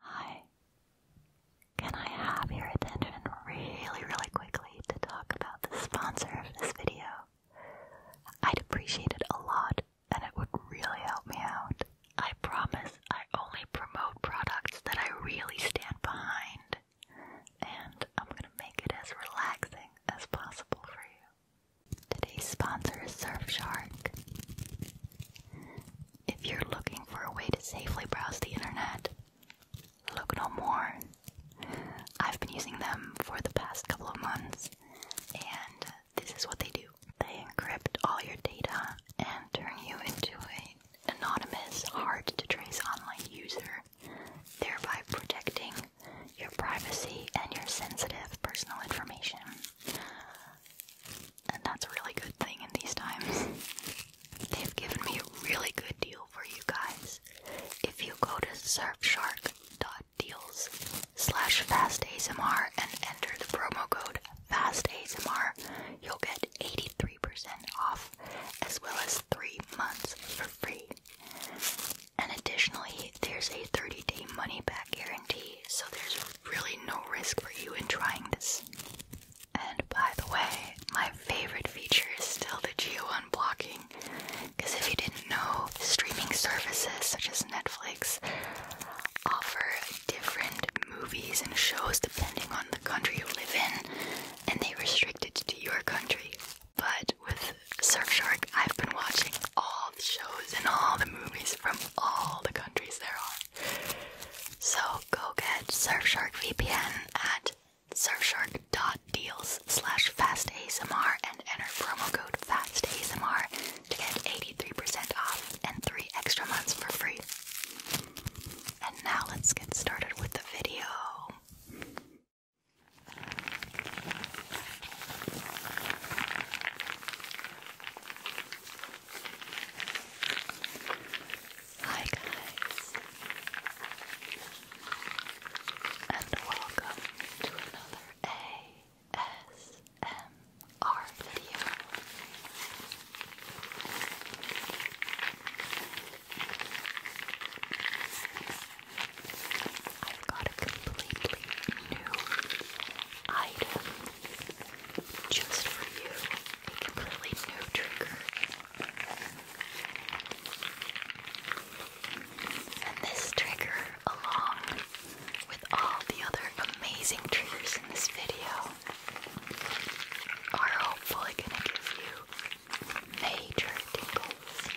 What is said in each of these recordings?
Hi. Can I have your attention really, really quickly to talk about the sponsor of this video? I'd appreciate it a lot and it would really help me out. I promise I only promote products that I really stand behind, and I'm gonna make it as relaxing as possible for you. Today's sponsor is Surfshark. If you're looking for a way to safely browse the internet, look no more. I've been using them for the past couple of months, and this is what they do they encrypt all your data and turn you into an anonymous, hard to trace online user, thereby protecting your privacy and your sensitive personal information and that's a really good thing in these times. They've given me a really good deal for you guys. If you go to surfshark.deals slash fastasmr and enter the promo code fastasmr, you'll get 83% off as well as 3 months for free. And additionally, there's a 30-day money-back guarantee, so there's really no risk for you in trying this. And by the way, my favorite feature is still the geo unblocking. Because if you didn't know, streaming services such as Netflix offer different movies and shows depending on the country you live in, and they restrict it to your country. But with Surfshark, I've been watching all shows and all the movies from all the countries there are. So go get Surfshark VPN at surfshark.deals slash fastasmr and enter promo code fastasmr to get 83% off and 3 extra months for free. And now let's get started with the video. Hi guys, and welcome to another ASMR video. I've got a completely new item just for you, a completely new trigger. And this trigger, along with all the other amazing triggers in this video, are hopefully going to give you major tingles.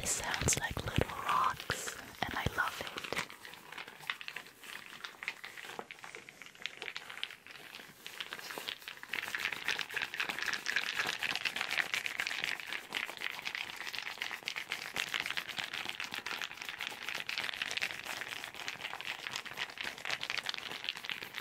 This sounds like little rocks, and I love it.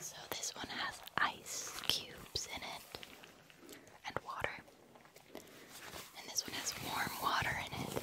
So, this one has ice cubes in it and water, and this one has warm water in it.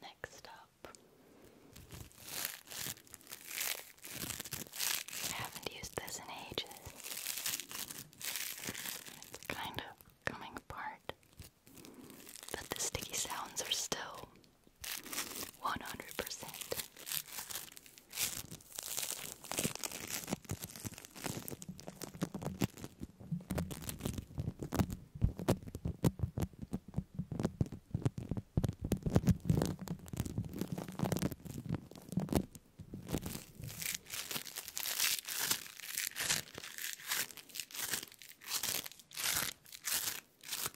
Next up, I haven't used this in ages. It's kind of coming apart, but the sticky sounds are still one hundred percent.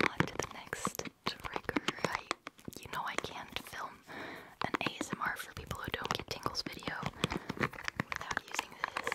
On to the next trigger. I, you know, I can't film an ASMR for people who don't get tingles video without using this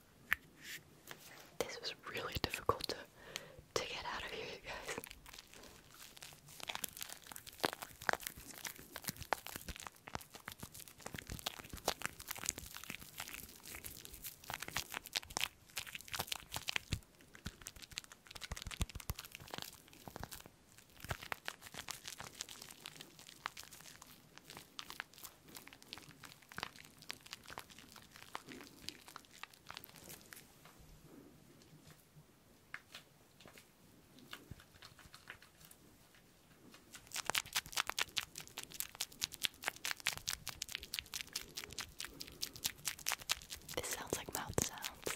This was really difficult to to get out of here, you guys. This sounds like mouth sounds.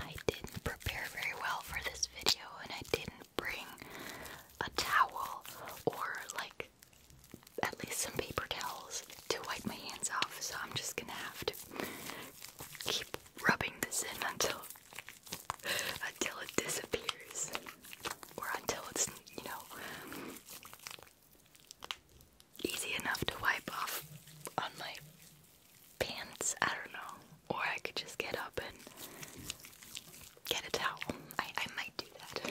I didn't prepare very well for this video and I didn't bring a towel or like at least some paper towels to wipe my hands off, so I'm just gonna have to keep rubbing this in until until it disappears or until it's you know easy enough to wipe off on my pants. I don't know. Or I could just get up and get a towel. I, I might do that.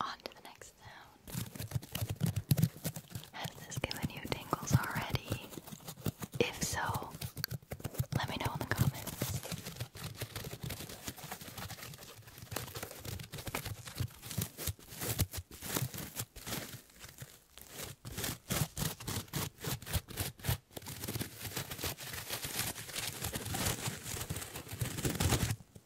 On to the next sound. Has this given you tingles already? If so, let me know in the comments.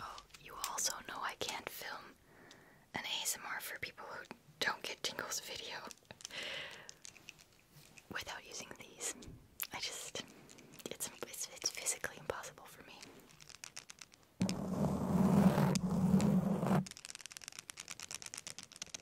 Oh, you also know I can't film an ASMR for people who don't get Tingle's video without using these. I just, it's, it's, it's physically impossible for me.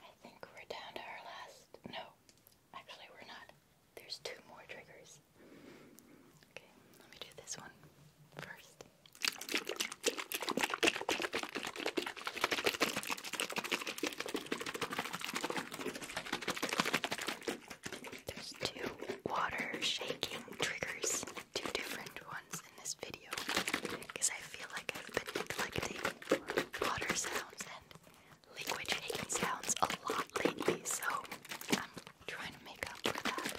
I think we're down to our last. No, actually, we're not. There's two more triggers. Okay, let me do this one first. There's two water shaking triggers two different ones in this video because I feel like I've been neglecting water sounds and liquid shaking sounds a lot lately, so I'm trying to make up for that.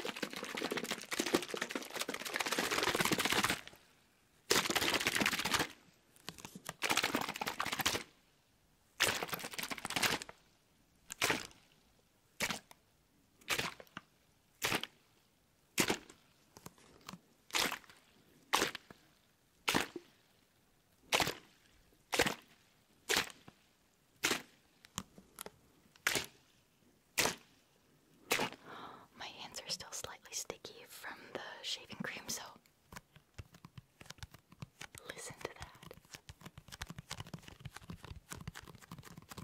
My hands are still slightly sticky from the shaving cream, so listen to that.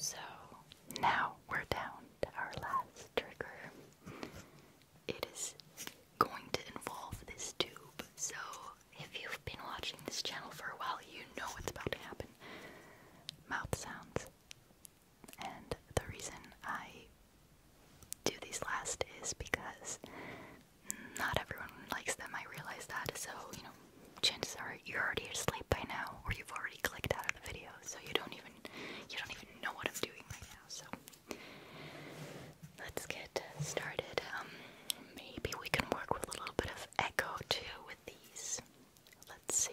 So now we're down to our last trigger it is going to involve this tube. So, if you've been watching this channel for a while, you know what's about to happen. Mouth sounds. And the reason I do these last is because not everyone likes them, I realize that. So, you know, chances are you're already asleep by now or you've already clicked out of the video, so you don't even you don't even know what I'm doing right now. So Let's get started. Um, maybe we can work with a little bit of echo too with these. Let's see.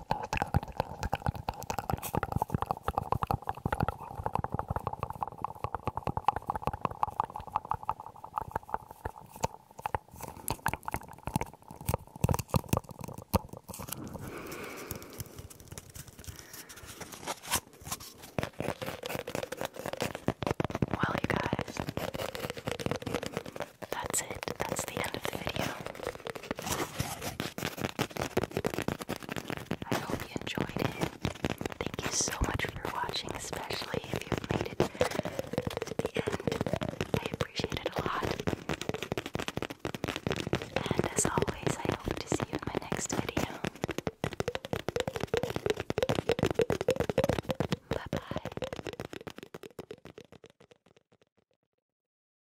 Well, you guys, that's it. That's the end of the video. I hope you enjoyed it. Thank you so much for watching, especially if you made it to the end. I appreciate it a lot. And as always, I hope to see you in my next video. Bye bye.